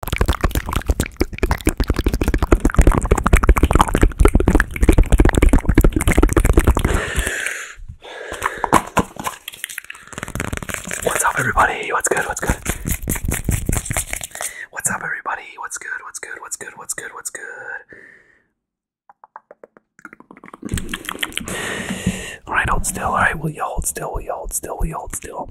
What's up, everybody? What's good? What's good? What's up, everybody? What's good? What's good? What's good? What's good? What's good? All right, hold still. All right, will you hold still? Will you hold still? Will you hold still?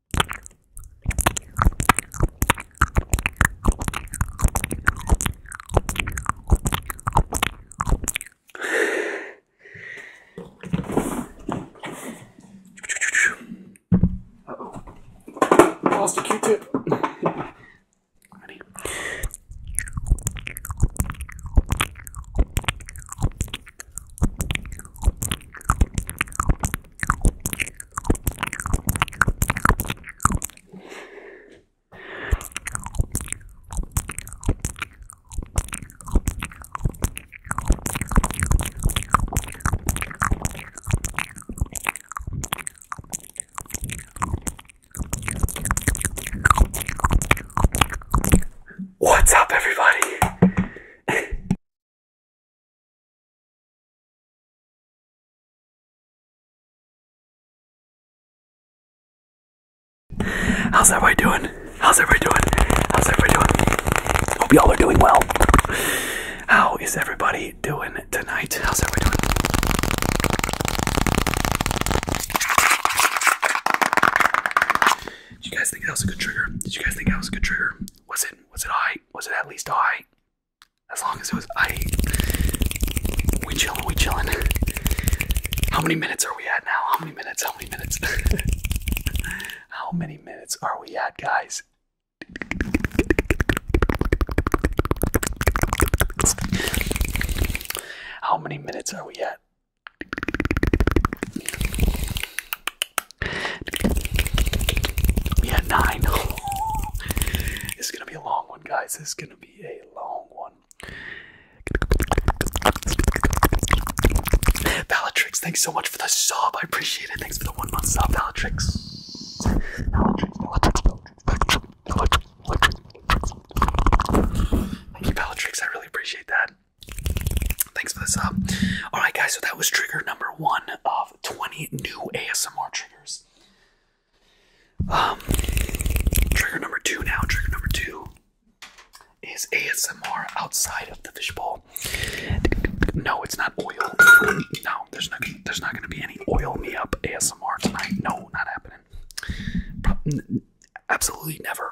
Uh oh. Lost a Q tip. Ready. What's up, everybody? How's everybody doing? How's everybody doing? How's everybody doing? Hope y'all are doing well. How is everybody doing tonight? How's everybody doing? Did you guys think that was a good trigger? Did you guys think that was a good trigger? Was it was it high? Was it at least high? As long as it was I we chillin', we chillin'. How many minutes are we at now? How many minutes? How many minutes? How many minutes are we at, guys? How many minutes are we at? Yeah, nine. it's gonna be a long one, guys. It's gonna be a long one. Valatrix, thanks so much for the sub. I appreciate it. Thanks for the one month sub, Valatrix. Valatrix, Valatrix, Valatrix, Valatrix, Valatrix. Thank you, Valatrix. I really appreciate that. Thanks for the sub. Alright, guys, so that was trigger number one of 20 new ASMR triggers. Um, trigger number two now. Trigger number two is ASMR outside of the fishbowl. No, it's not oil. No, there's not. going to be any oil me up ASMR tonight. No, not happening. absolutely never.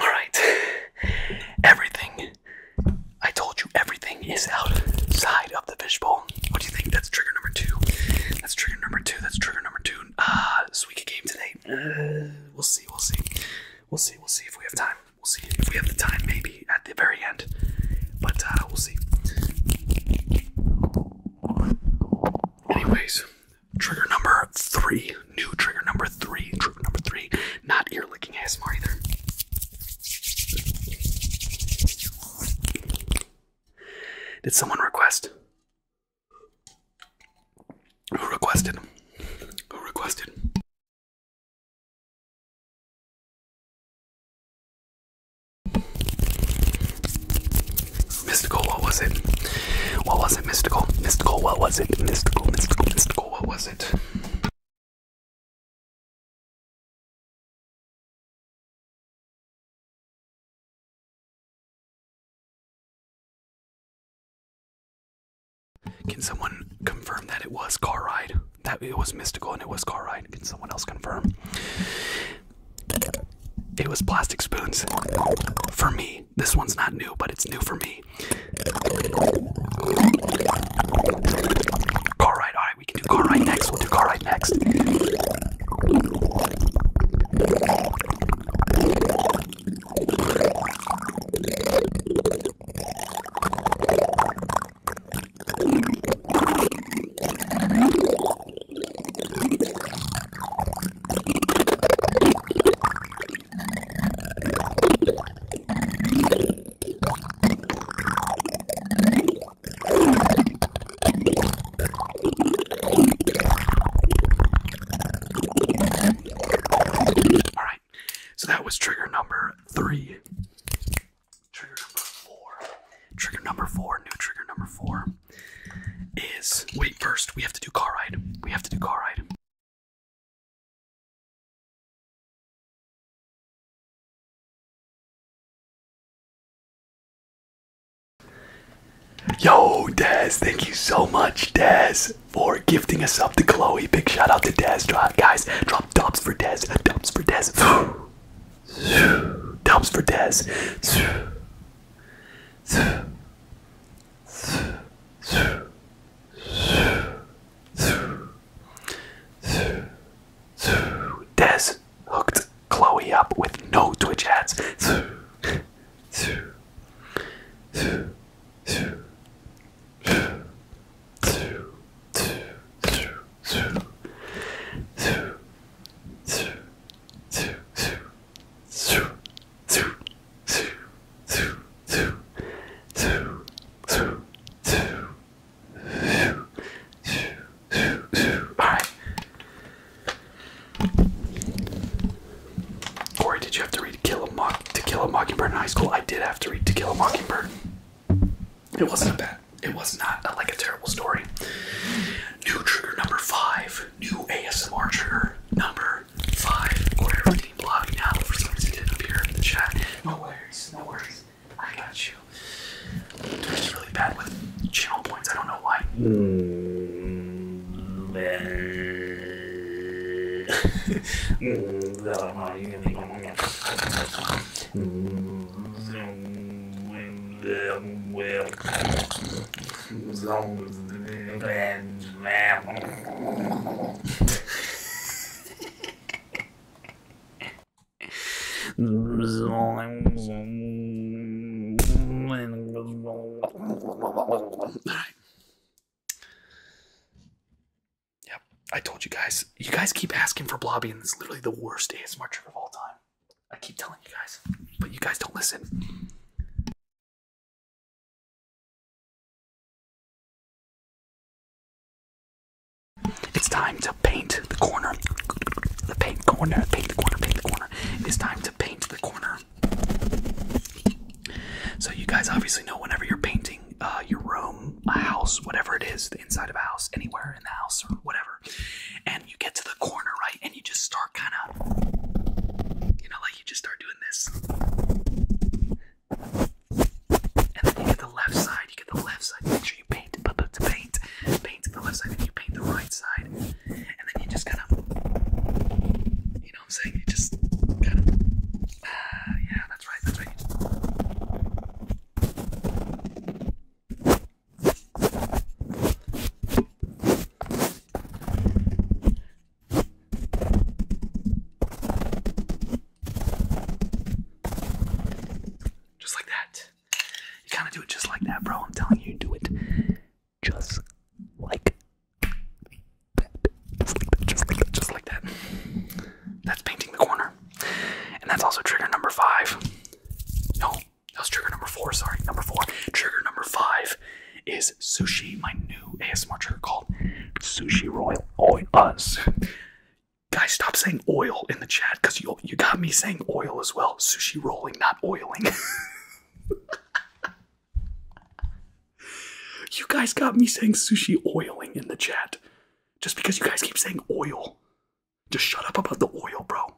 Alright. Everything. I told you everything is outside of the fishbowl. What do you think? That's trigger number two. That's trigger number two. That's trigger number two. Ah, uh, sweet game today. Uh, we'll see. We'll see. We'll see. We'll see if we have time. We'll see if we have the time, maybe at the very end. But uh, we'll see. Anyways, trigger number three. New trigger number three. Trigger number three not ear licking ASMR either. Did someone request? Who requested? Who requested? Mystical, what was it? What was it? Mystical, mystical, what was it? Mystical, mystical, mystical, what was it? Can someone confirm that it was car ride? That it was mystical and it was car ride. Can someone else confirm? It was plastic spoons. For me. This one's not new, but it's new for me. Car ride, alright, we can do car ride next. We'll do car ride next. All right, so that was trigger number three. Trigger number four. Trigger number four. New trigger number four is wait. First, we have to do car ride. We have to do car ride. Yo, Daz, thank you so much, Daz, for gifting us up to Chloe. Big shout out to Daz. Drop, guys, drop dumps for Daz, dumps for Daz, dumps for Daz. Des hooked Chloe up with no Twitch ads. Alright. Corey, did you have to read Kill a Mock To Kill a Mockingbird in high school? I did have to read To Kill a Mockingbird. It wasn't bad. It was not uh, like a terrible story. New trigger number five. New ASMR trigger number five being blocked now. For some reason, didn't appear in the chat. No worries, no worries. I got you. Twitch really bad with channel points. I don't know why. Yep, I told you guys. You guys keep asking for Blobby, and it's literally the worst ASMR trip of all time. I keep telling you guys, but you guys don't listen. It's time to paint the corner. The paint corner, paint the corner, paint the corner. It's time to paint the corner. So, you guys obviously know whenever you're painting uh, your room, a house, whatever it is, the inside of a house, anywhere in the house or whatever, and you get to the corner, right? And you just start kind of, you know, like you just start doing this. And then you get the left side, you get the left side, make sure you paint, paint, paint the left side, and you paint the right side. And then you just kind of, you know I'm saying? You just kind of, uh, yeah, that's right, that's right. Just like that. You kind of do it just like that, bro. I'm telling you, do it just like that. Just like that, just like that, That's painting the corner. And that's also trigger number five. No, that was trigger number four. Sorry, number four. Trigger number five is sushi. My new ASMR trigger called Sushi Royal. Oh, us. Guys, stop saying oil in the chat because you you got me saying oil as well. Sushi rolling, not oiling. you guys got me saying sushi oiling in the chat. Just because you guys keep saying oil. Just shut up about the oil, bro.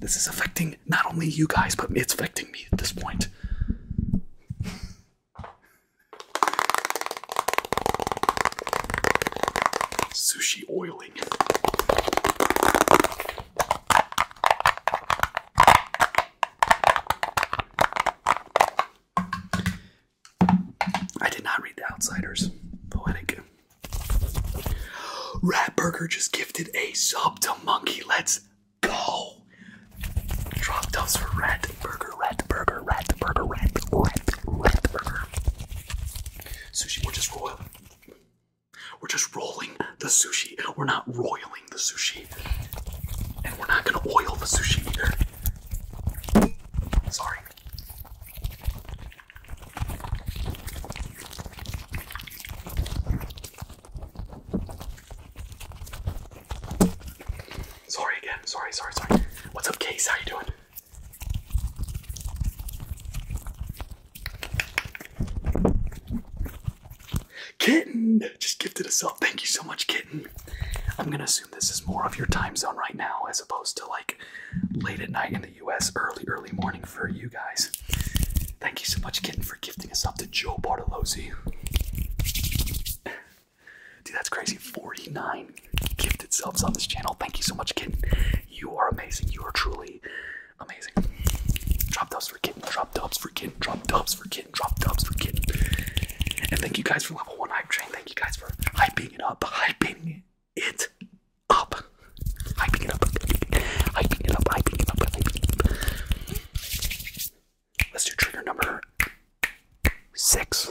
This is affecting not only you guys, but it's affecting me at this point. Sushi oiling. I did not read The Outsiders. Poetic. Ratburger just gifted a sub to Monkey. Let's go. Drop those for Rat burger, rat burger, rat burger, rat, rat, rat burger. Sushi, we're just rolling. We're just rolling the sushi. We're not roiling the sushi. And we're not gonna oil the sushi either. Sorry. Sorry again. Sorry, sorry, sorry. What's up, Case? How you doing? Kitten just gifted a sub. Thank you so much, Kitten. I'm gonna assume this is more of your time zone right now as opposed to like late at night in the US, early, early morning for you guys. Thank you so much, Kitten, for gifting us up to Joe Bartolozzi. Dude, that's crazy. 49 gifted subs on this channel. Thank you so much, Kid. You are amazing. You are truly amazing. Drop dubs for Kid. Drop dubs for Kid. Drop dubs for Kid. Drop dubs for Kitten. And thank you guys for level one hype train. Thank you guys for hyping it up. Hyping it up. Hyping it up. Hyping it up. Hyping it up. Hyping it up. Let's do trigger number six.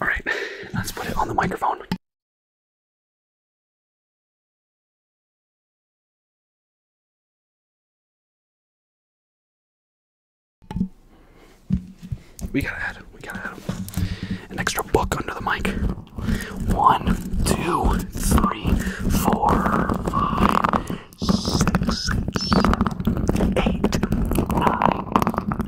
All right, let's put it on the microphone. We gotta add We gotta add An extra book under the mic. One, two, three, four, five, six, seven, eight, nine,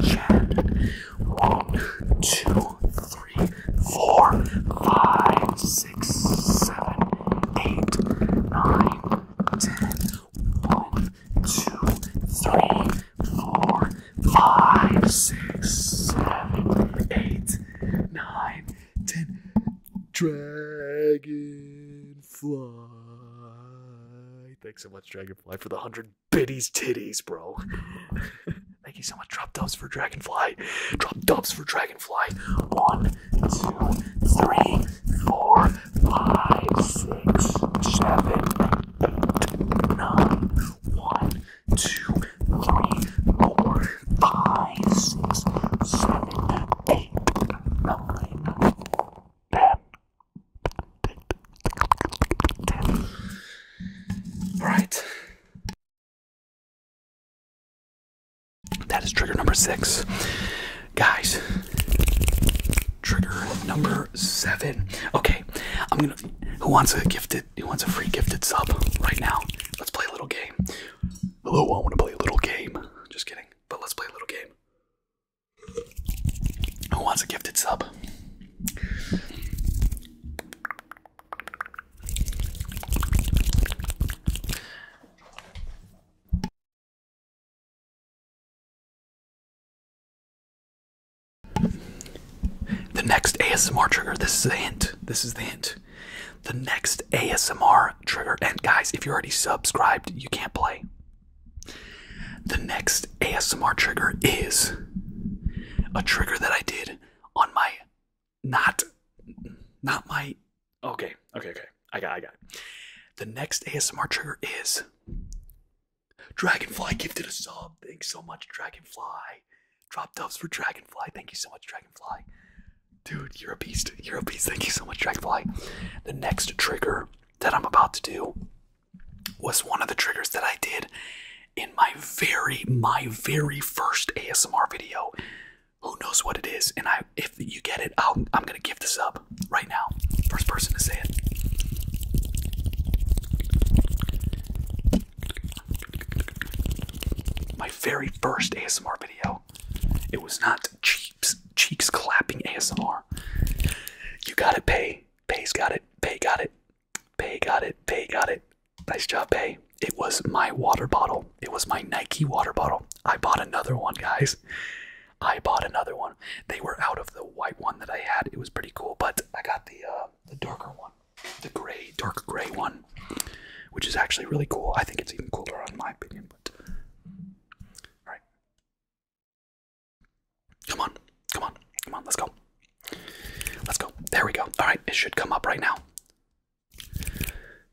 ten. One, two, three, four, five, six, seven, eight, nine, ten. One, two, three, four, five, six, seven, eight, nine, ten. Dragonfly. Thanks so much, Dragonfly, for the hundred bitties titties, bro. Thank you so much. Drop dubs for Dragonfly. Drop dubs for Dragonfly. One, two, three, four, five, six, seven, eight, nine, one, two, three, four, five, six, seven, eight, nine, ten. ten. Right. That is trigger number six guys. Trigger number seven. Okay, I'm gonna. Who wants a gifted? Who wants a free gifted sub right now? Let's play a little game. Hello, I want to play a little game. Just kidding. But let's play a little game. Who wants a gifted sub? The next ASMR trigger, this is the hint. This is the hint. The next ASMR trigger, and guys, if you're already subscribed, you can't play. The next ASMR trigger is a trigger that I did on my not not my okay, okay, okay. I got I got The next ASMR trigger is Dragonfly gifted a sub. Thanks so much, Dragonfly. Drop dubs for Dragonfly. Thank you so much, Dragonfly. Dude, you're a beast. You're a beast. Thank you so much, Dragonfly. The next trigger that I'm about to do was one of the triggers that I did in my very, my very first ASMR video. Who knows what it is? And I, if you get it, I'll, I'm gonna give this up right now. First person to say it. My very first ASMR video. It was not cheeks cheeks clapping ASMR. You got it, Pay. Pay's got it. Pay got it. Pay got it. Pay got it. Nice job, Pay. It was my water bottle. It was my Nike water bottle. I bought another one, guys. I bought another one. They were out of the white one that I had. It was pretty cool, but I got the uh, the darker one, the gray, dark gray one, which is actually really cool. I think it's even cooler, in my opinion. But all right, come on, come on, come on, let's go, let's go. There we go. All right, it should come up right now.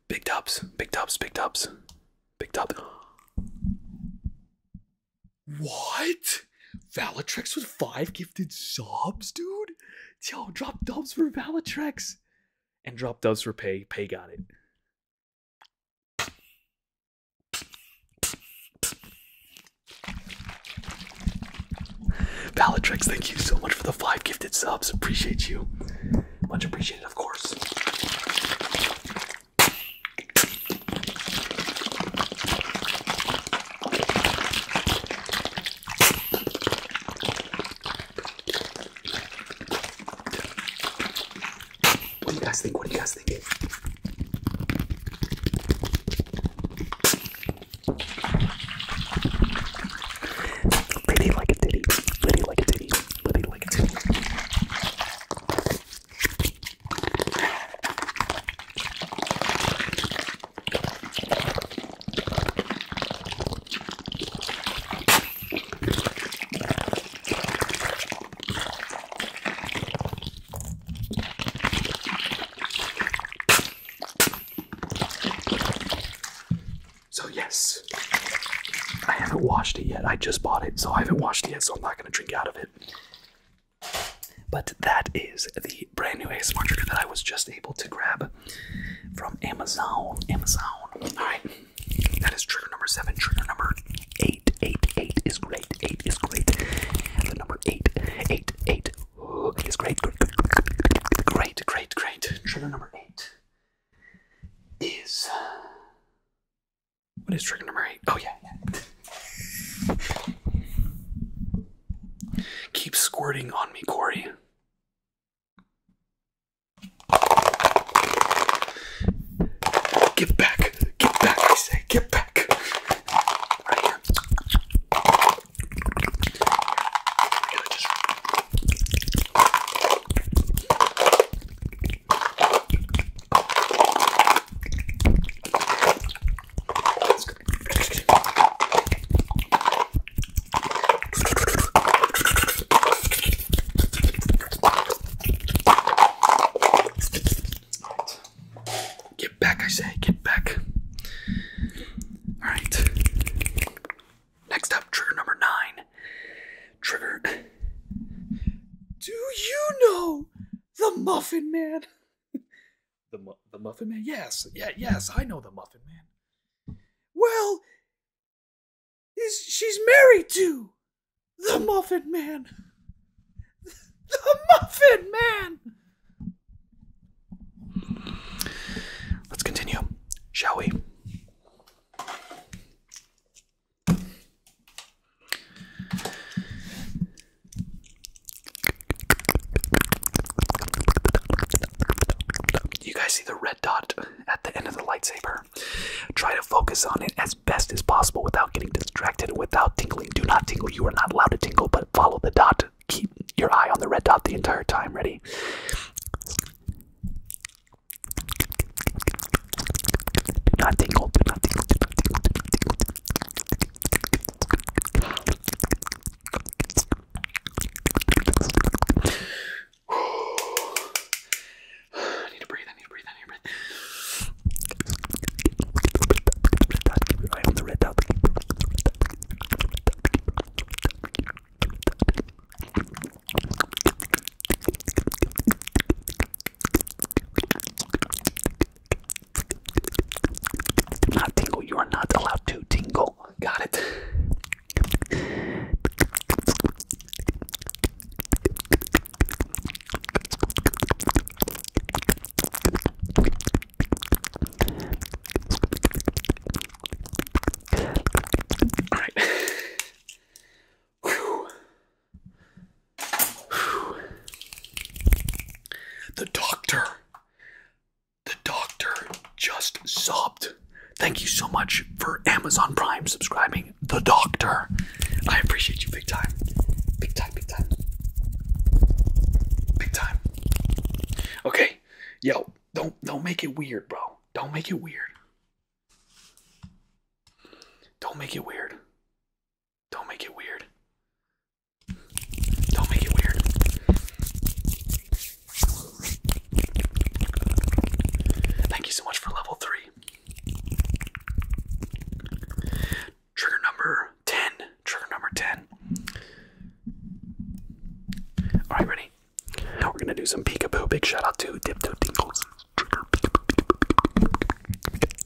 Big dubs, big dubs, big dubs, big dubs. What? Valatrex with five gifted subs, dude? Yo, drop subs for Valatrex. And drop subs for Pay. Pay got it. Valatrex, thank you so much for the five gifted subs. Appreciate you. Much appreciated, of course. What do you guys think? What do you guys think? Liddy like a titty, liddy like a titty, liddy like a titty. So, yes, I haven't washed it yet. I just bought it, so I haven't washed it yet, so I'm not going to drink out of it. But that is the brand new ASMR trigger that I was just able to grab from Amazon. Amazon. Alright. That is trigger number seven. Trigger number eight. Eight. Eight is great. Eight is great. The number eight. Eight. Eight is great. Great. Great. Great. Great. Trigger number eight is what is trigger number eight? Oh, yeah, yeah. Keep squirting on me, Corey. Give back. Give back, I say. Give back. Right. Get back, I say, get back. Alright. Next up, trigger number nine. Trigger. Do you know the Muffin Man? the the Muffin Man. Yes, yeah, yes, I know the Muffin Man. Well, is she's married to the Muffin Man? The Muffin Man. Let's continue, shall we? You guys see the red dot at the end of the lightsaber? Try to focus on it as best as possible without getting distracted, without tingling. Do not tingle. You are not allowed to tingle, but follow the dot. Keep your eye on the red dot the entire time. Ready? Do not tingle. Do not tingle. I need to breathe, I need to breathe, I need to breathe. Keep your eye on the red dot. Not tingle. You are not allowed to tingle. Got it. All right. Whew. The doctor. The doctor just subbed. Thank you so much for Amazon Prime subscribing. The doctor. I appreciate you big time. Big time, big time. Big time. Okay. Yo, don't don't make it weird, bro. Don't make it weird. Don't make it weird. Don't make it weird. Don't make it weird. Thank you so much for level three. Trigger number 10. Trigger number 10. Alright, ready? We're gonna do some peekaboo. Big shout out to Dipto Dingles.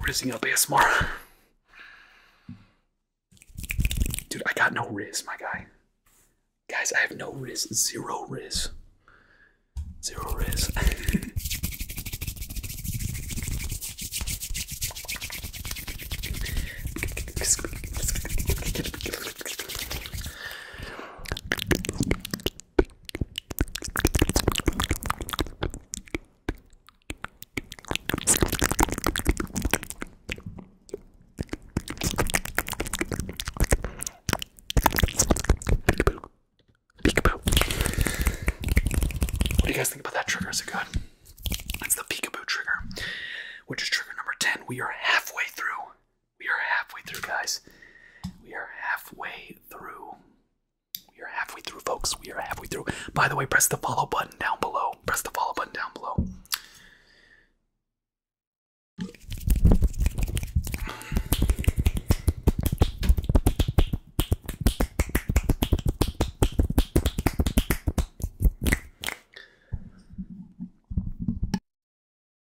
We're just gonna pay us more. Dude, I got no riz, my guy. Guys, I have no riz. Zero riz. Zero riz. What do you guys think about that trigger? Is it good? That's the peekaboo trigger, which is trigger number 10. We are halfway through. We are halfway through, guys. We are halfway through we are halfway through, folks. We are halfway through. By the way, press the follow button down below. Press the follow button down below.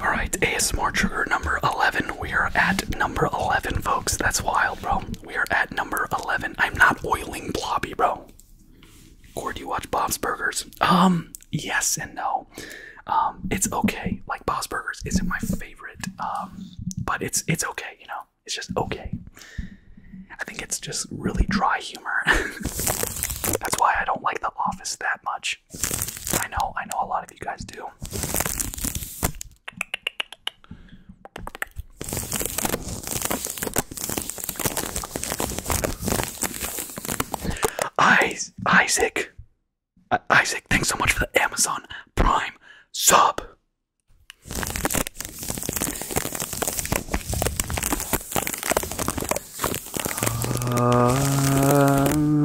All right, ASMR trigger number 11. We are at number 11, folks. That's wild, bro. We are at number 11. I'm not oiling Blobby, bro. Or do you watch Bob's Burgers? Um, yes and no. Um, it's okay. Like Bob's Burgers isn't my favorite. Um, but it's it's okay, you know. It's just okay. I think it's just really dry humor. That's why I don't like The Office that much. I know, I know a lot of you guys do. Isaac, Isaac, thanks so much for the Amazon Prime sub. Um,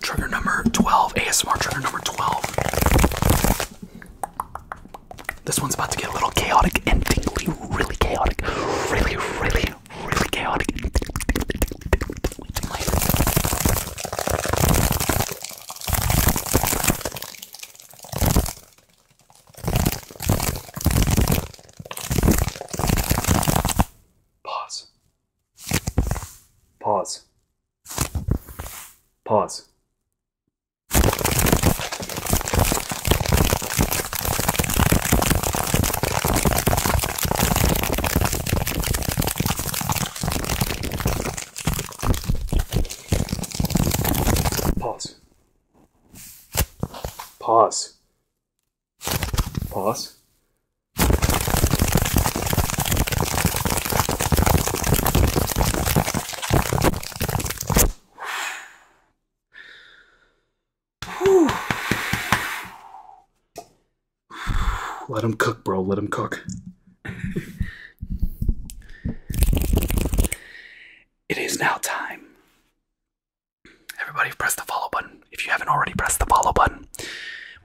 Trigger number 12, ASMR trigger number 12. This one's about to get a little chaotic and tingly, really chaotic. Really, really, really chaotic. Pause. Pause. Pause. Pause. Pause. Pause. Let him cook, bro. Let him cook. it is now time Everybody press the follow button. If you haven't already pressed the follow button,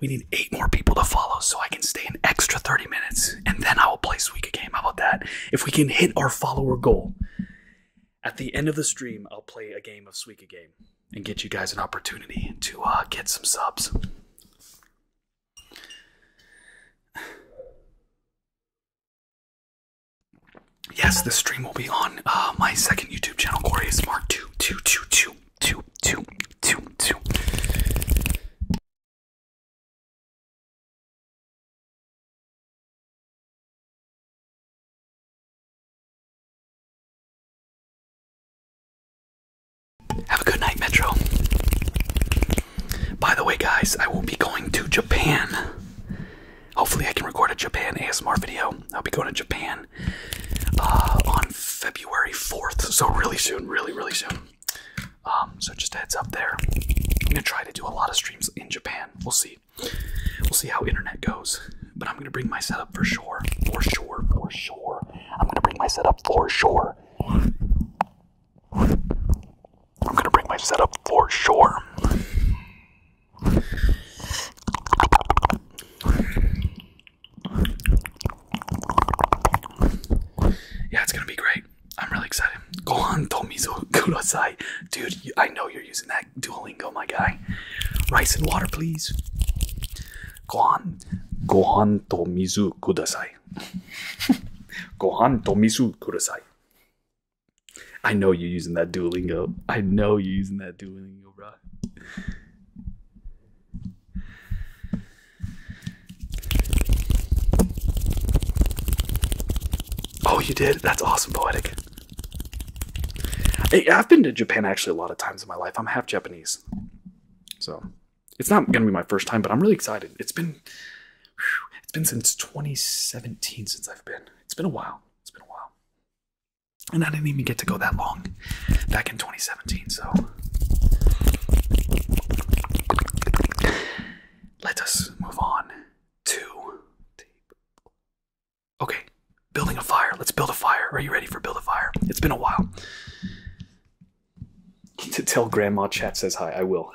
we need eight more people to follow so I can stay an extra 30 minutes and then I will play Suika game. How about that? If we can hit our follower goal, at the end of the stream, I'll play a game of Suika game and get you guys an opportunity to uh, get some subs. Yes, the stream will be on uh, my second YouTube channel, Corey two two two two two two two two. Have a good night, Metro. By the way, guys, I will be going to Japan Hopefully, I can record a Japan ASMR video. I'll be going to Japan uh, on February 4th, so really soon, really, really soon. Um, so just heads up there. I'm gonna try to do a lot of streams in Japan. We'll see. We'll see how internet goes. But I'm gonna bring my setup for sure, for sure, for sure. I'm gonna bring my setup for sure. I'm gonna bring my setup for sure. Yeah, it's gonna be great. I'm really excited. Gohan Tomizo Kurosai. Dude, I know you're using that Duolingo, my guy. Rice and water, please. Gohan. Gohan Tomizu Kudasai. Gohan Tomizu Kudasai. I know you're using that Duolingo. I know you're using that Duolingo, bro. Oh, you did? That's awesome, poetic. I've been to Japan actually a lot of times in my life. I'm half Japanese. So it's not gonna be my first time, but I'm really excited. It's been it's been since 2017 since I've been. It's been a while. It's been a while. And I didn't even get to go that long back in 2017. So let us move on to. Okay, building a fire. Let's build a fire. Are you ready for build a fire? It's been a while. To tell Grandma Chat says hi, I will.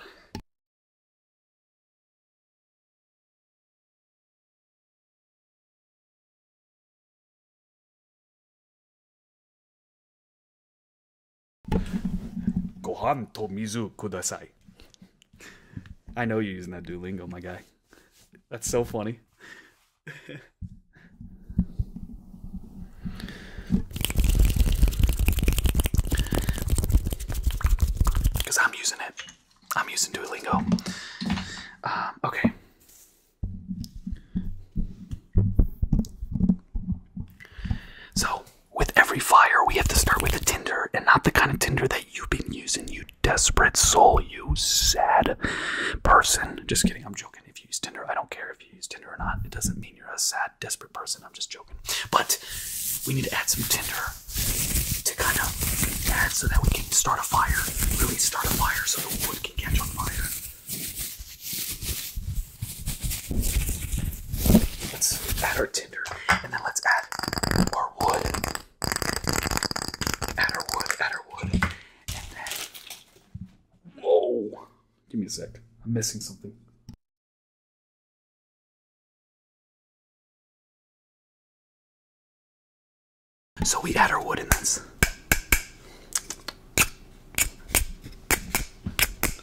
Gohan to mizu kudasai. I know you're using that Duolingo, my guy. That's so funny. Because I'm using it. I'm using Duolingo. Um, okay. So, with every fire, we have to start with a tinder, and not the kind of tinder that you've been using, you desperate soul, you sad person. Just kidding, I'm joking. If you use Tinder, I don't care if you use Tinder or not. It doesn't mean you're a sad, desperate person. I'm just joking. But we need to add some Tinder to kind of add so that we can start a fire. Really start a fire so the wood can catch on fire. Let's add our tinder and then let's add our wood. Add our wood, add our wood. And then. Whoa! Give me a sec. I'm missing something. So we add our wood in this.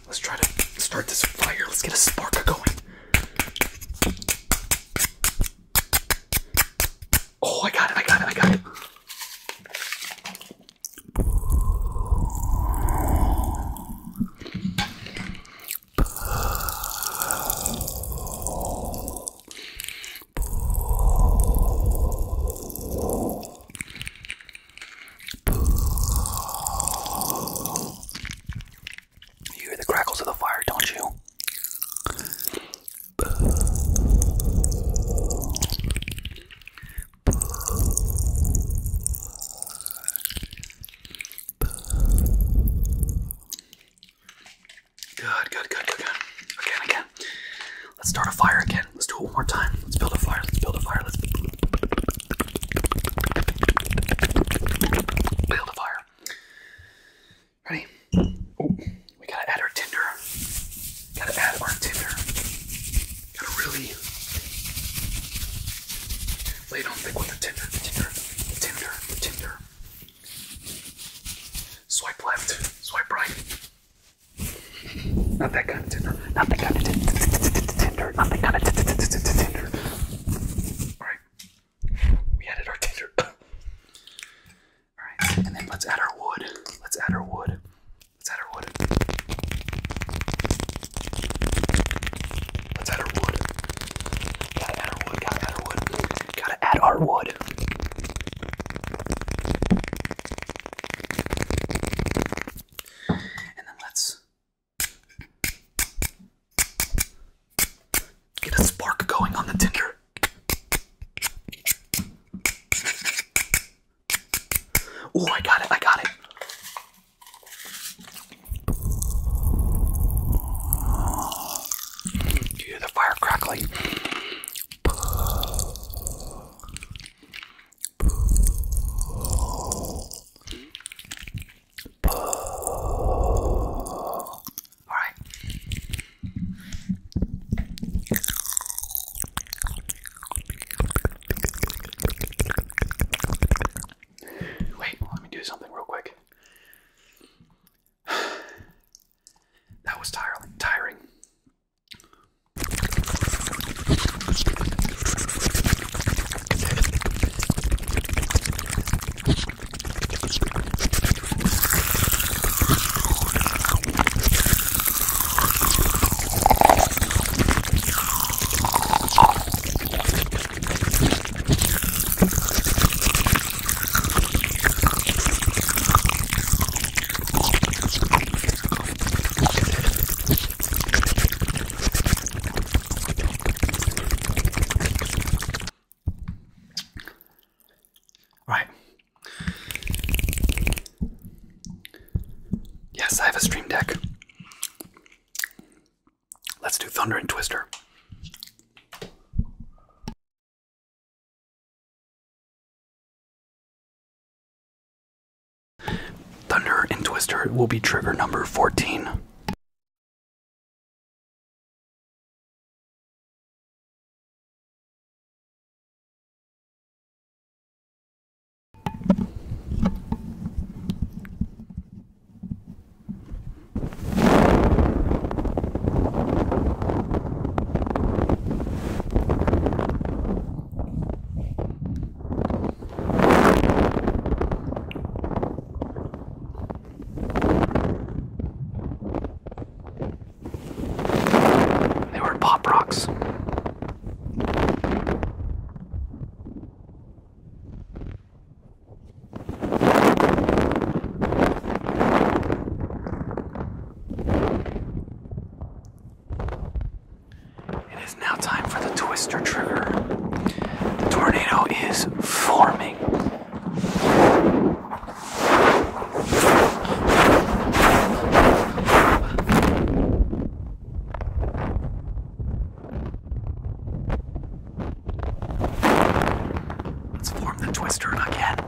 Let's try to start this fire. Let's get a spark going. Oh, I got it, I got it, I got it. You hear the crackles of the fire, don't you? Good, good, good, good, good. Again, again. Let's start a fire again. Let's do it one more time. Let's build a fire. Let's build a fire. Let's build a fire. Ready? Oh, we gotta add our tinder. Gotta add our tinder. Gotta really lay down thick with the tinder, tinder, tinder, tinder. Swipe left, swipe right. Not that kind of Tinder. Not that kind of Tinder. Not that kind of Tinder. Alright. We added our Tinder. Alright. And then let's add our wood. Let's add our wood. Let's add our wood. Let's add our wood. got our wood. got add our wood. Gotta add our wood. And then let's get a spark going on the tinder. Oh, I got it, I got it. You hear the fire crackling. All right. Wait, let me do something real quick. that was tiring. Tiring. Right. Yes, I have a stream deck. Let's do Thunder and Twister. Thunder and Twister will be trigger number 14. They were pop rocks. It is now time for the twister trigger. The tornado is forming. Let's form the twister again.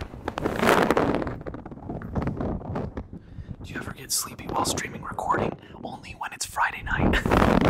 Do you ever get sleepy while streaming recording? Only when it's Friday night.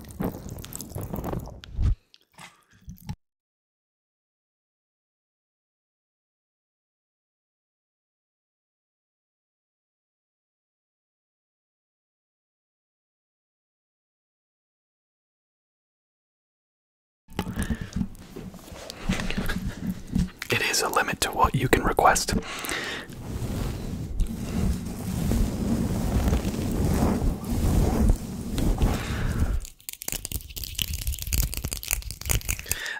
It is a limit to what you can request.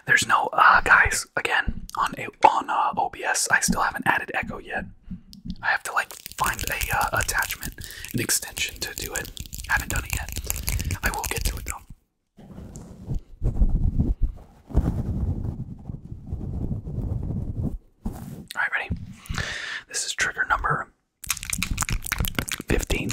There's no uh guys again on a, on uh, OBS. I still haven't added echo yet. I have to like find a uh, attachment, an extension to do it. haven't done it yet. I will get to it though. Alright, ready? This is trigger number 15.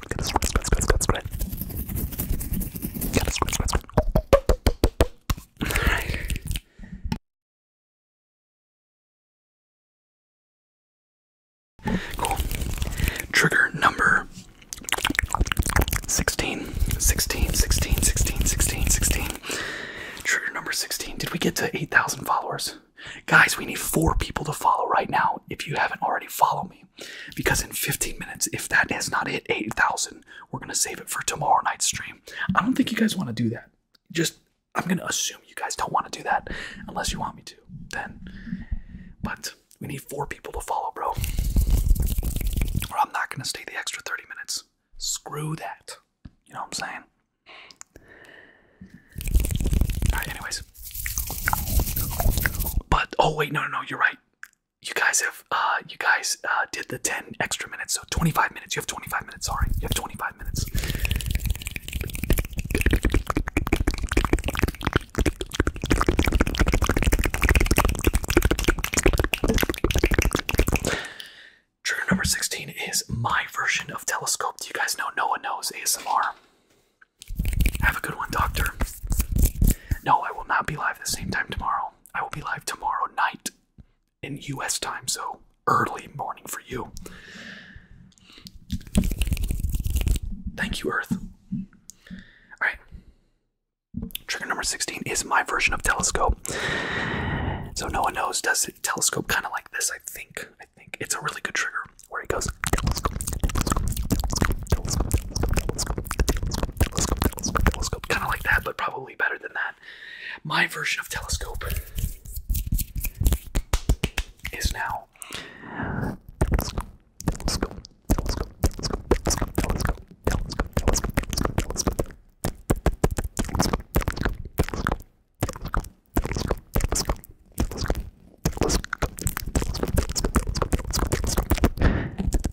Gotta scratch, scratch, scratch, scratch, scratch. scratch, scratch, scratch. Trigger number 16, 16, 16, 16, 16, 16. Trigger number 16. Did we get to 8,000 followers? Guys, we need four people to follow right now. If you haven't already, followed me. Because in 15 minutes, if that is not hit 8,000, we're going to save it for tomorrow night's stream. I don't think you guys want to do that. Just, I'm going to assume you guys don't want to do that unless you want me to, then. But we need four people to follow, bro. Or I'm not going to stay the extra 30 minutes. Screw that. You know what I'm saying? anyways. But, oh, wait, no, no, no, you're right you guys have uh you guys uh did the 10 extra minutes so 25 minutes you have 25 minutes sorry you have 25 minutes trigger number 16 is my version of telescope do you guys know no one knows asmr have a good one doctor no, I will not be live the same time tomorrow. I will be live tomorrow night in US time, so early morning for you. Thank you, Earth. Alright. Trigger number 16 is my version of telescope. So no one knows, does telescope kind of like this? I think. I think it's a really good trigger where it goes telescope, telescope, telescope. Kind of like that, but probably better than that. My version of telescope is now telescope, telescope, telescope, telescope, telescope, telescope, telescope, telescope, telescope, telescope, telescope, telescope.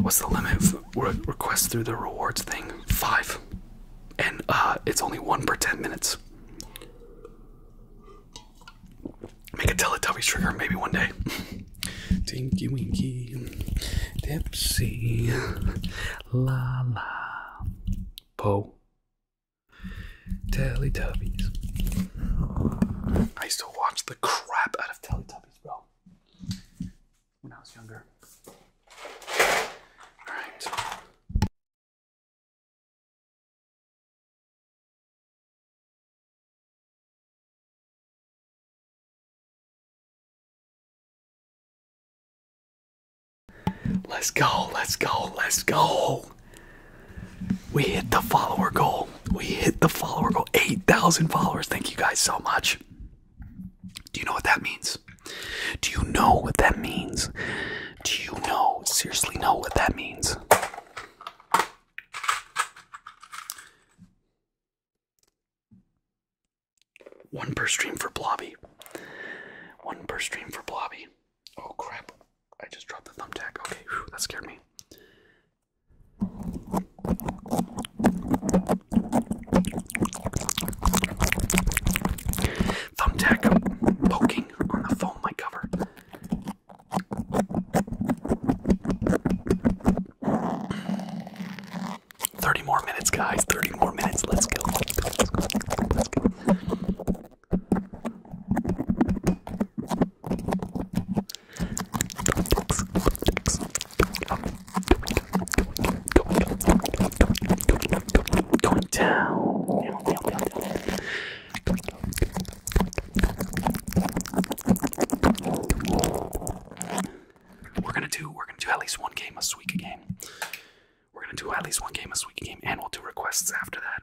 What's the limit for requests through the rewards thing? Five. And uh, it's only one per 10 minutes. Make a Teletubbies trigger maybe one day. Tinky Winky, Dipsy, La La, Po. Teletubbies. I used to watch the crap out of Teletubbies, bro. When I was younger. Alright. Let's go, let's go, let's go. We hit the follower goal. We hit the follower goal. 8,000 followers. Thank you guys so much. Do you know what that means? Do you know what that means? Do you know, seriously know what that means? One per stream for Blobby. One per stream for Blobby. Oh crap. I just dropped the thumbtack. Okay, that scared me. Thumbtack poking on the foam mic cover. Thirty more minutes, guys. Thirty more minutes. Let's go. Let's go. Let's go. Let's go. Going down. We're gonna do. We're gonna do at least one game a week a game. We're gonna do at least one game a week a game, and we'll do requests after that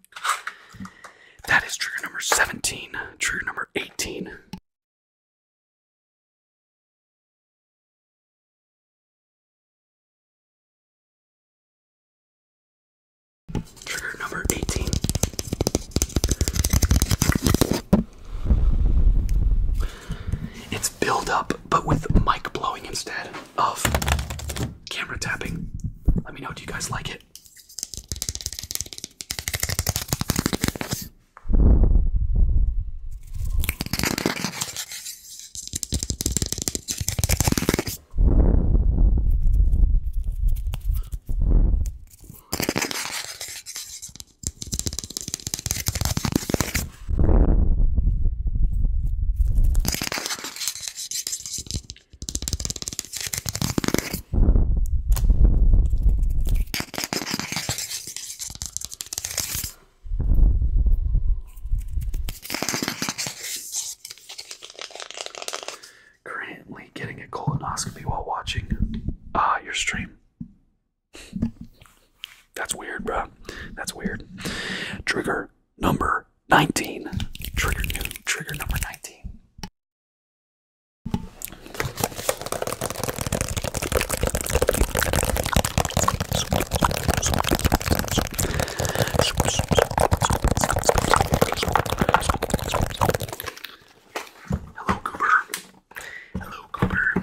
That is trigger number 17. Trigger number 18. Trigger number 18. It's build up, but with mic blowing instead of camera tapping. Let me know, do you guys like it? Currently getting a colonoscopy while watching uh, your stream. That's weird, bro. That's weird. Trigger number 19. Trigger new, trigger number 19. Hello, Cooper. Hello, Cooper.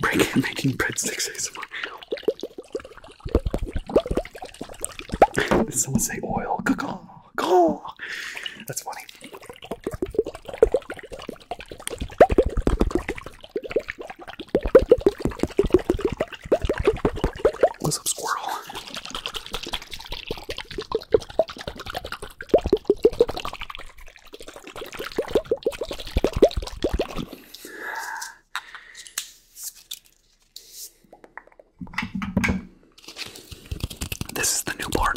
Break it making breadsticks ASMR. Did someone say oil? That's funny. What's up, squirrel? This is the new part.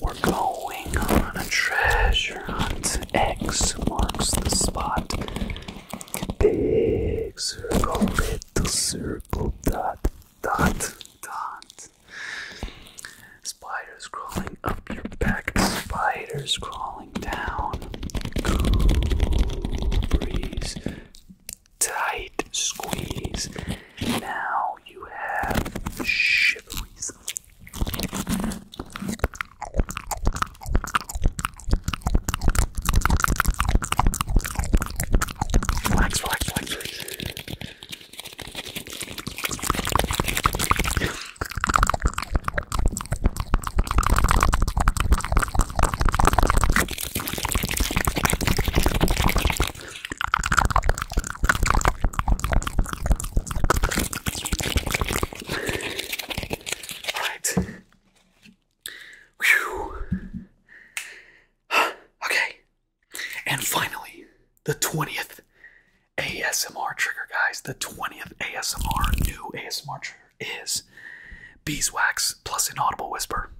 We're going on a treasure hunt. X marks the spot. Big circle, little circle, dot, dot, dot. Spiders crawling up your back, spiders crawling down. Cool breeze tight squeeze. Now you have shiveries. Relax, Alright. okay. And finally, the 20th ASMR trigger, guys. The 20th ASMR, new ASMR trigger is beeswax plus an audible whisper.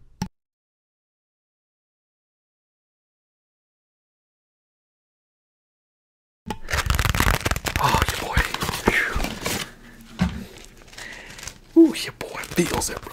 Oh, your boy. Ooh, your boy feels it, bro.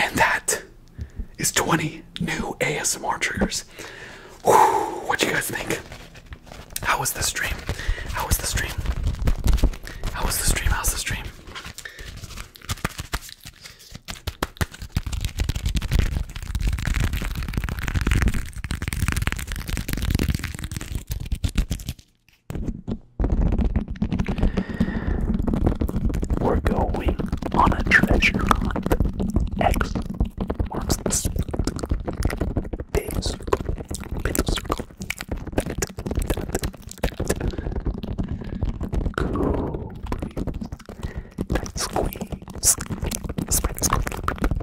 And that is 20 new ASMR triggers. Whew, what you guys think? How was the stream? How was the stream? How was the stream? was the stream? We're going on a treasure hunt. X marks the big circle, big circle. Cool, please. Tight squeeze,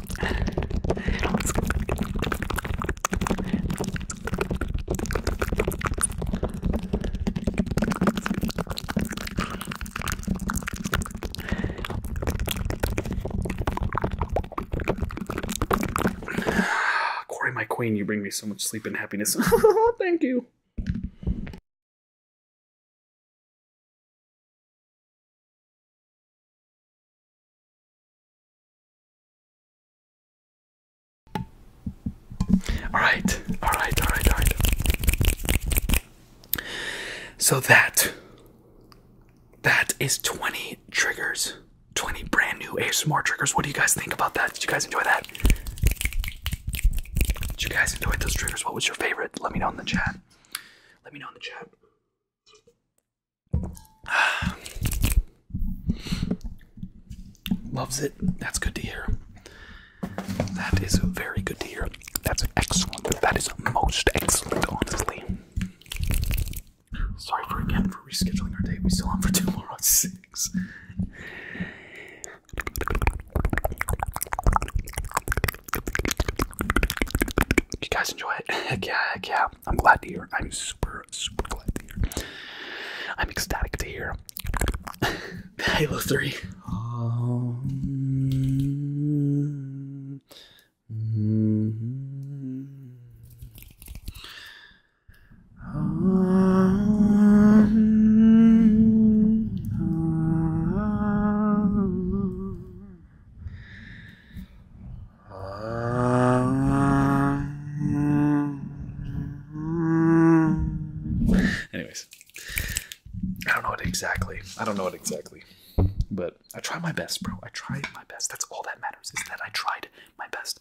Corey, my queen, you bring me so much sleep and happiness. Thank you. All right, all right, all right, all right. So that that is 20 triggers, 20 brand new ASMR triggers. What do you guys think about that? Did you guys enjoy that? Did you guys enjoy those triggers? What was your favorite? Let me know in the chat. Let me know in the chat. Loves it. That's good to hear. That is very good to hear. That's excellent. That is most excellent, honestly. Sorry for again for rescheduling our date. We still on for tomorrow at six. You guys enjoy it? heck yeah, heck yeah. I'm glad to hear. I'm super, super glad to hear. I'm ecstatic to hear. Halo 3. Anyways, I don't know what exactly. I don't know it exactly, but I try my best, bro. I try my best. That's all that matters is that I tried my best.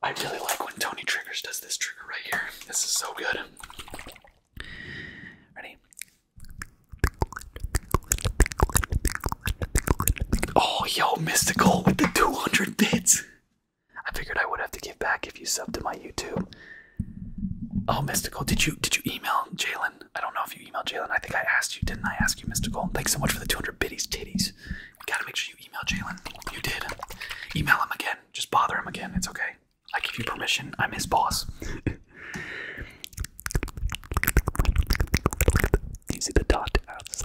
I really like when Tony Triggers does this trigger right here. This is so good. Ready? Oh, yo, mystical with the 200 bits. I figured I would have to give back if you subbed to my YouTube. Oh, Mystical, did you did you email Jalen? I don't know if you emailed Jalen. I think I asked you, didn't I ask you, Mystical? Thanks so much for the 200 bitties, titties. You gotta make sure you email Jalen. You did. Email him again. Just bother him again. It's okay. I give you permission. I'm his boss. you see the dot outside?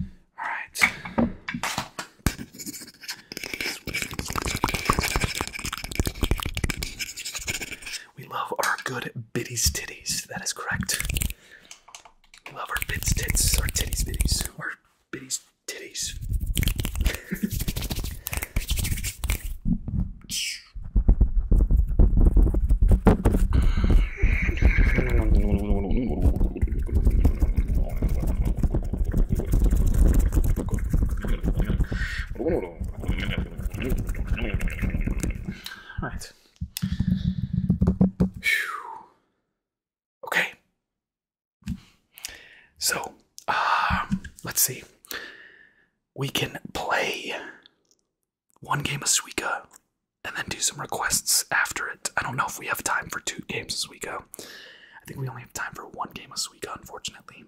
All right. We love our good bitties titties. That is correct. We love our bitties titties. our titties bitties, our bitties titties. Alright. Okay. So, um, let's see. We can play one game of Suika, and then do some requests after it. I don't know if we have time for two games as we go. I think we only have time for one game a Suika, unfortunately.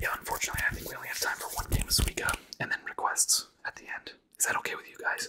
Yeah, unfortunately, I think we only have time for one game a Suika, and then requests at the end. Is that okay with you guys?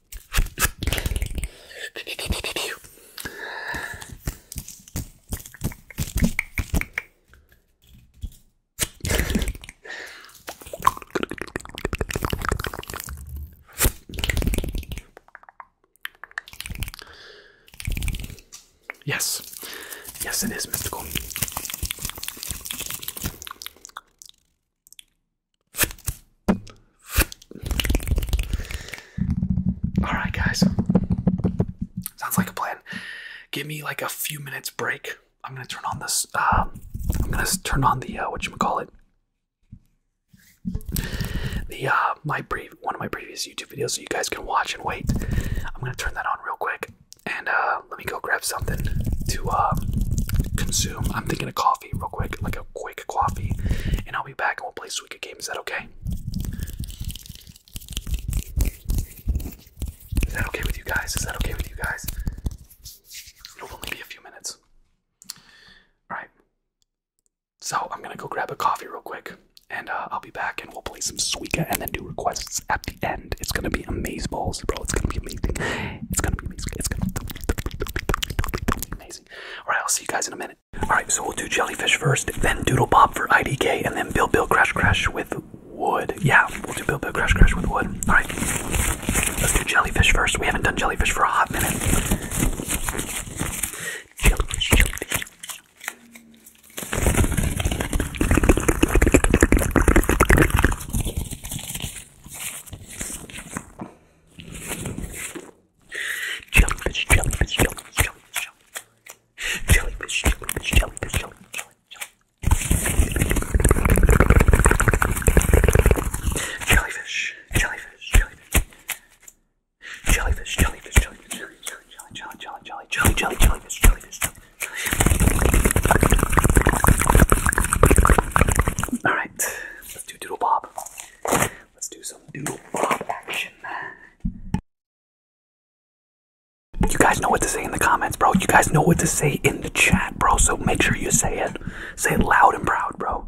Yes, yes, it is mystical. Alright, guys. Sounds like a plan. Give me like a few minutes break. I'm gonna turn on this. Uh, I'm gonna turn on the uh, what you call it. The uh, my brief one of my previous YouTube videos, so you guys can watch and wait. I'm gonna turn that on real quick, and let me go grab something to consume. I'm thinking a coffee real quick, like a quick coffee, and I'll be back and we'll play Suika game. Is that okay? Is that okay with you guys? Is that okay with you guys? It'll only be a few minutes. Alright. So I'm gonna go grab a coffee real quick and uh, I'll be back and we'll play some Suika and then do requests at the end. It's gonna be amazeballs, bro. It's gonna be amazing. It's gonna be. Alright, I'll see you guys in a minute. Alright, so we'll do Jellyfish first, then Doodle Bob for IDK, and then Bill Bill Crash Crash with Wood. Yeah, we'll do Bill Bill Crash Crash with Wood. Alright, let's do Jellyfish first. We haven't done Jellyfish for a hot minute. Jellyfish, jellyfish, jellyfish, jellyfish, jellyfish, jellyfish, jellyfish, jellyfish. Jellyfish, jellyfish, jellyfish. Jellyfish, jellyfish, jellyfish, jelly, jelly, jelly, jelly, jelly, jelly, jelly, jellyfish, jellyfish. All right, Let's do Doodle Bob. Let's do some Doodle Bob action. You guys know what to say in the comments, bro. You guys know what to say in the chat, bro. So make sure you say it. Say it loud and proud, bro.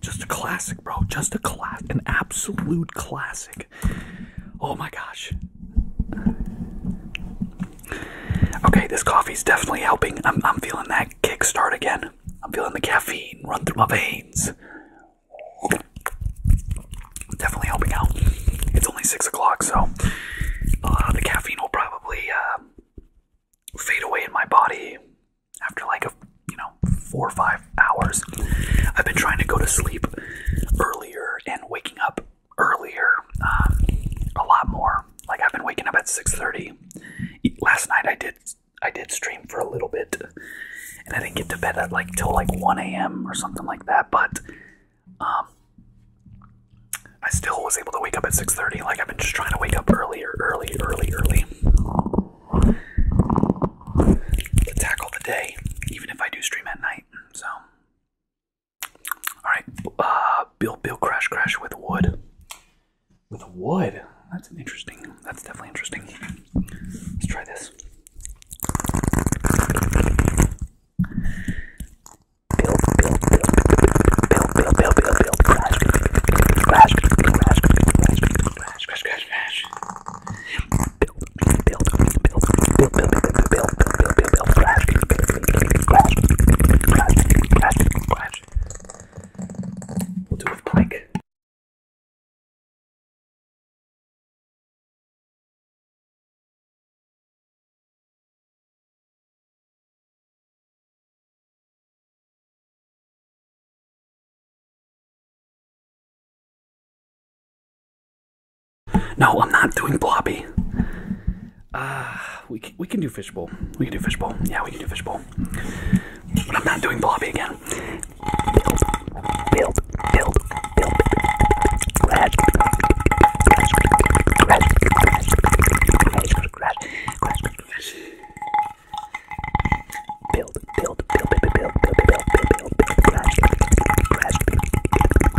Just a classic, bro. Just a class, an absolute classic. Oh my gosh. Okay, this coffee is definitely helping. I'm, I'm feeling that kickstart again. I'm feeling the caffeine run through my veins. Definitely helping out. It's only six o'clock, so uh, the caffeine will probably uh, fade away in my body after like a you know four or five hours. I've been trying to go to sleep earlier and waking up earlier uh, a lot more. Like I've been waking up at six thirty. Last night I did I did stream for a little bit, and I didn't get to bed at like till like 1 a.m. or something like that. But um, I still was able to wake up at 6:30. Like I've been just trying to wake up earlier, early, early, early to tackle the day, even if I do stream at night. So, all right, uh, Bill, crash, crash with wood with wood. That's interesting. That's definitely interesting. Let's try this. We'll do it plank. No, I'm not doing blobby. Ah, we we can do fishbowl. We can do fishbowl. Yeah, we can do fishbowl. But I'm not doing blobby again. Build, build, build, crash, crash, crash, crash, crash, crash, crash, build, build, build, build, build, build, build, build, build, crash, crash, crash,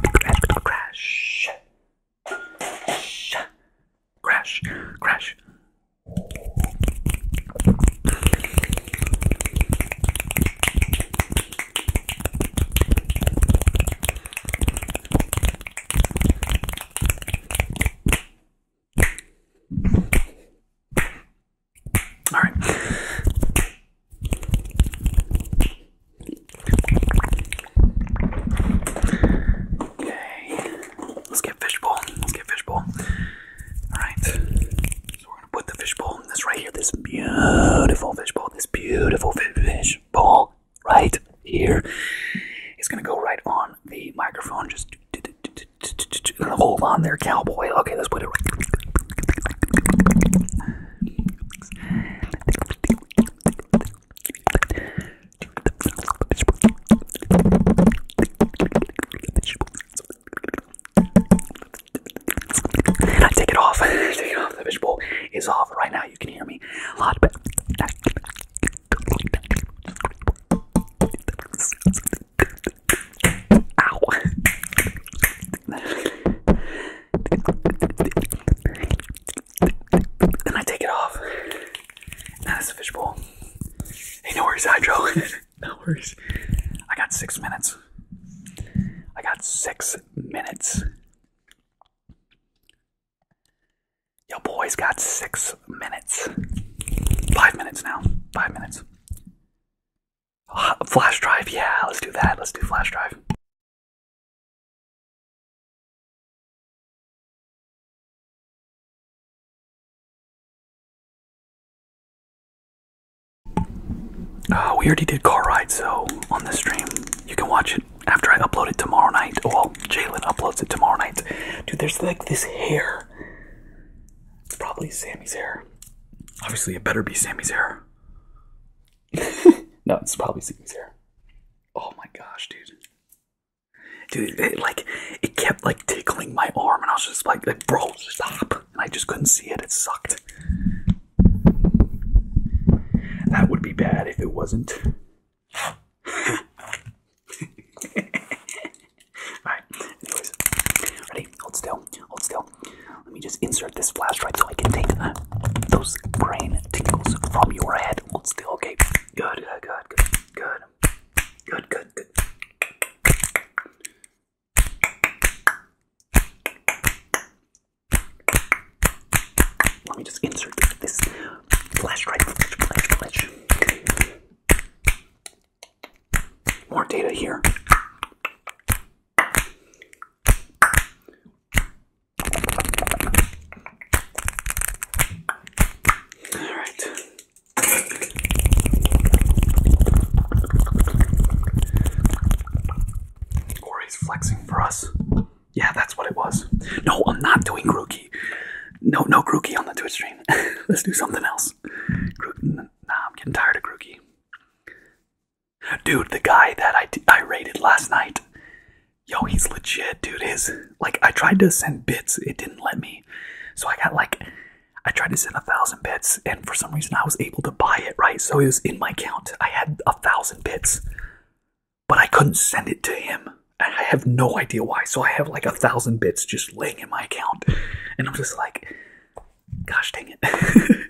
crash, crash, crash, crash, all right. Okay. Let's get fishbowl. Let's get fishbowl. Alright, so we're gonna put the fishbowl in this right here, this beautiful fish bowl, this beautiful fish bowl, right here. It's gonna go right on the microphone. Just hold on there, cowboy. Okay, let's put it right. And I take it off. The fishbowl is off right now. You can hear me a lot better. Ow. Then I take it off. that's the fishbowl. Hey, no worries, Hydro no worries. I got six minutes. I got six minutes. Yo, boys, got six minutes. Five minutes now. Five minutes. flash drive, yeah, let's do that. Let's do flash drive. Uh, we already did car rides, so on this stream, you can watch it after I upload it tomorrow night. Well, Jalen uploads it tomorrow night. Dude, there's like this hair. It's probably Sammy's hair. Obviously, it better be Sammy's hair. no, it's probably Sammy's hair. Oh my gosh, dude. Dude, like, it kept like like my arm, and I was just like, bro, stop. And I just couldn't see it. It sucked. That would be bad if it wasn't. Alright, anyways. Ready? Hold still. Hold still. Let me just insert this flashlight so I can take uh, those brain tingles from your head. Hold still, okay? good, good, good, good, good, good, good. Let me just insert this flash right More data here. All right. Or he's flexing for us. Yeah, that's what it was. No, I'm not doing Grookey. No, no Grookey on the Twitch stream. Let's do something else. Grook nah, I'm getting tired of Grookey. Dude, the guy that I, I rated last night. Yo, he's legit, dude. His like I tried to send bits, it didn't let me. So I got like I tried to send a thousand bits, and for some reason I was able to buy it, right? So it was in my account. I had a thousand bits, but I couldn't send it to him. I have no idea why. So I have like a thousand bits just laying in my account. And I'm just like, gosh dang it. I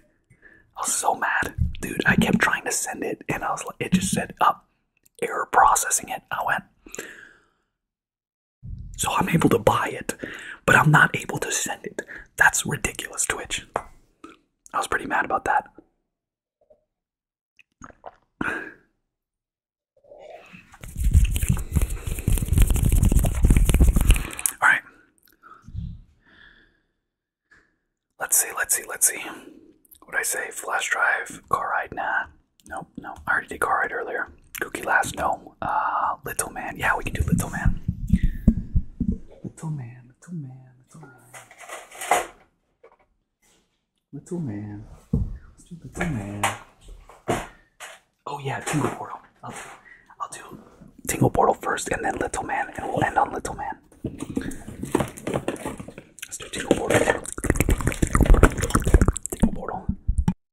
was so mad. Dude, I kept trying to send it, and I was like, it just said, up. Oh, error processing it. I went, so I'm able to buy it, but I'm not able to send it. That's ridiculous, Twitch. I was pretty mad about that. All right. Let's see, let's see, let's see. What I say? Flash drive, car ride, nah. Nope, no. I already did car ride earlier. Cookie Last, no. Uh, Little Man, yeah, we can do Little Man. Little Man, Little Man, Little Man. Little Man. Let's do Little Man. Oh, yeah, Tingle Portal. I'll do, I'll do Tingle Portal first and then Little Man, and we'll end on Little Man. Let's do Tingle Portal. Tingle Portal.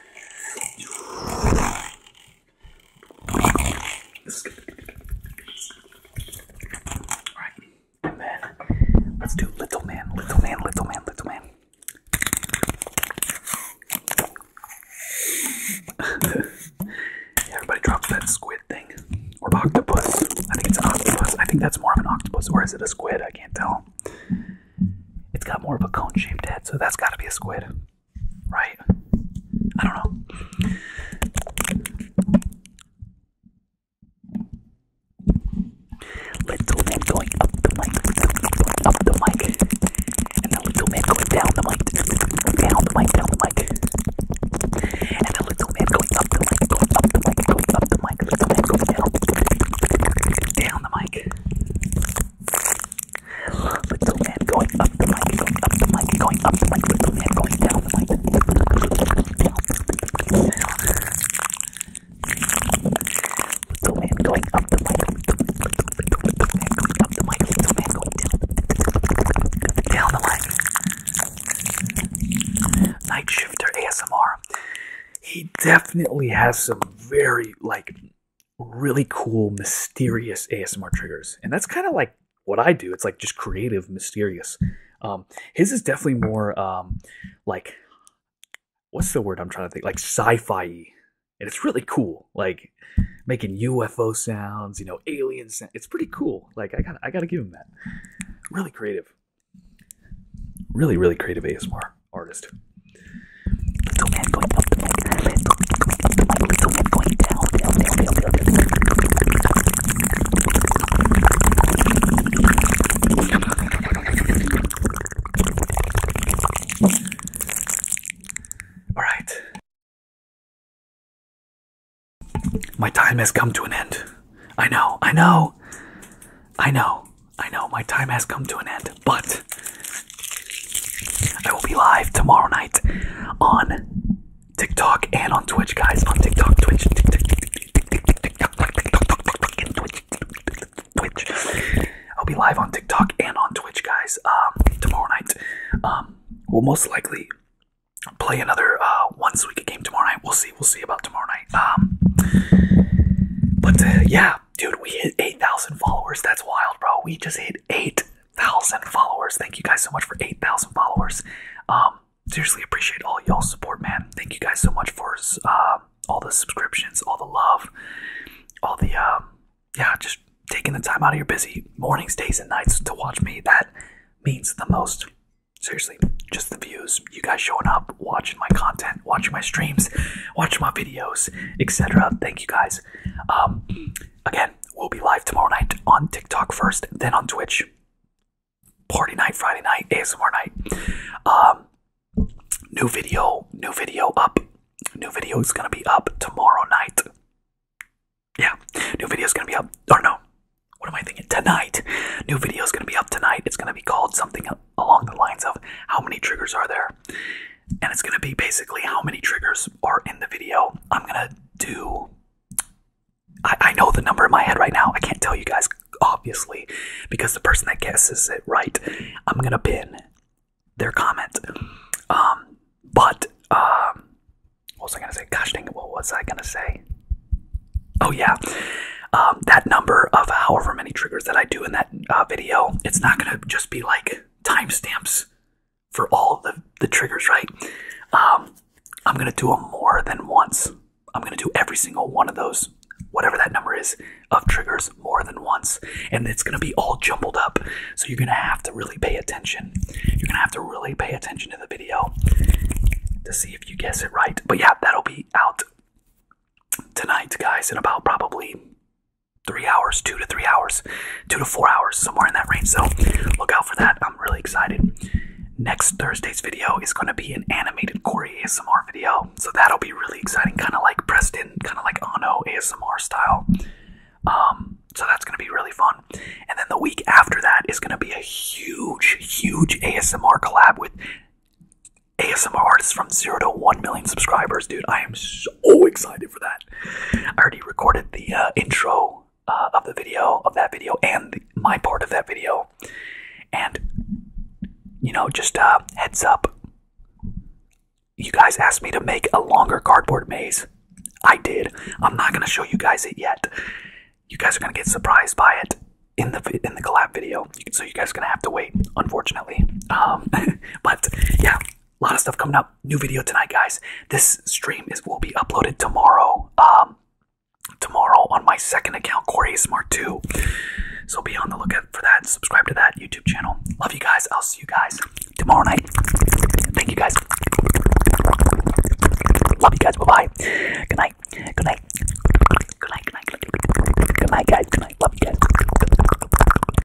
Alright, and then let's do Little Man, Little Man, Little Man, Little Man. everybody dropped that squid thing. we Or octopus. I think it's an octopus. I think that's more of an octopus. Or is it a squid? I can't tell. It's got more of a cone shaped head, so that's gotta be a squid, right? I don't know. Little man going up the mic, up the mic, and the little man going down the mic, down the mic, down the mic, and the little man going up the mic, going up the mic, going up the mic, little man going down, down the mic. Little man going up the mic, going up the mic, going up the mic, little man going down the mic. Little man going up the mic, little man going up the mic, little man going down, the mic. Night Shifter ASMR. He definitely has some very, like, really cool, mysterious ASMR triggers. And that's kind of like what I do. It's like just creative, mysterious. Um, his is definitely more um, like, what's the word I'm trying to think? Like sci fi And it's really cool. Like making UFO sounds, you know, alien sounds. It's pretty cool. Like I got I gotta give him that. Really creative. Really, really creative ASMR artist. All right. My time has come to an end. I know, I know, I know. I know my time has come to an end, but I will be live tomorrow night on TikTok and on Twitch, guys. On TikTok, Twitch, Twitch. I'll be live on TikTok and on Twitch, guys. Um, tomorrow night. Um, we'll most likely play another uh, once a week game tomorrow night. We'll see. We'll see about tomorrow night. Um, but uh, yeah, dude, we hit 8,000 followers. That's wild, bro. We just hit 8,000 followers. Thank you guys so much for 8,000 followers. Um, seriously appreciate all y'all support, man. Thank you guys so much for uh, all the subscriptions, all the love, all the, um, yeah, just taking the time out of your busy mornings, days, and nights to watch me. That means the most. Seriously, just the views, you guys showing up, watching my content, watching my streams, watching my videos, etc. Thank you guys um, again, we'll be live tomorrow night on TikTok first, then on Twitch. Party night, Friday night, ASMR night. Um, new video, new video up. New video is gonna be up tomorrow night. Yeah, new video is gonna be up. Or no, what am I thinking? Tonight, new video is gonna be up tonight. It's gonna be called something along the lines of how many triggers are there and it's gonna be basically how many triggers are in the video. I'm gonna do. I, I know the number in my head right now. I can't tell you guys, obviously, because the person that guesses it right, I'm gonna pin their comment. Um, but um, what was I gonna say? Gosh dang it! What was I gonna say? Oh yeah, um, that number of however many triggers that I do in that uh, video, it's not gonna just be like timestamps for all the, the triggers, right? Um, I'm going to do them more than once. I'm going to do every single one of those, whatever that number is, of triggers more than once. And it's going to be all jumbled up. So you're going to have to really pay attention. You're going to have to really pay attention to the video to see if you guess it right. But yeah, that'll be out tonight, guys, in about probably three hours, two to three hours, two to four hours, somewhere in that range. So look out for that. I'm really excited. Next Thursday's video is going to be an animated Corey ASMR video. So that'll be really exciting, kind of like Preston, kind of like Ano ASMR style. Um, so that's going to be really fun. And then the week after that is going to be a huge, huge ASMR collab with ASMR artists from zero to one million subscribers, dude. I am so Oh, excited for that. I already recorded the uh, intro uh, of the video, of that video, and my part of that video. And, you know, just uh, heads up. You guys asked me to make a longer cardboard maze. I did. I'm not going to show you guys it yet. You guys are going to get surprised by it in the in the collab video. So you guys are going to have to wait, unfortunately. Um, but yeah, lot of stuff coming up. New video tonight, guys. This stream is will be uploaded tomorrow. Um, tomorrow on my second account, Corey Smart 2. So be on the lookout for that. Subscribe to that YouTube channel. Love you guys. I'll see you guys tomorrow night. Thank you guys. Love you guys. Bye bye. Good night. Good night. Good night. Good night. Good night, guys. Good night. Love you guys.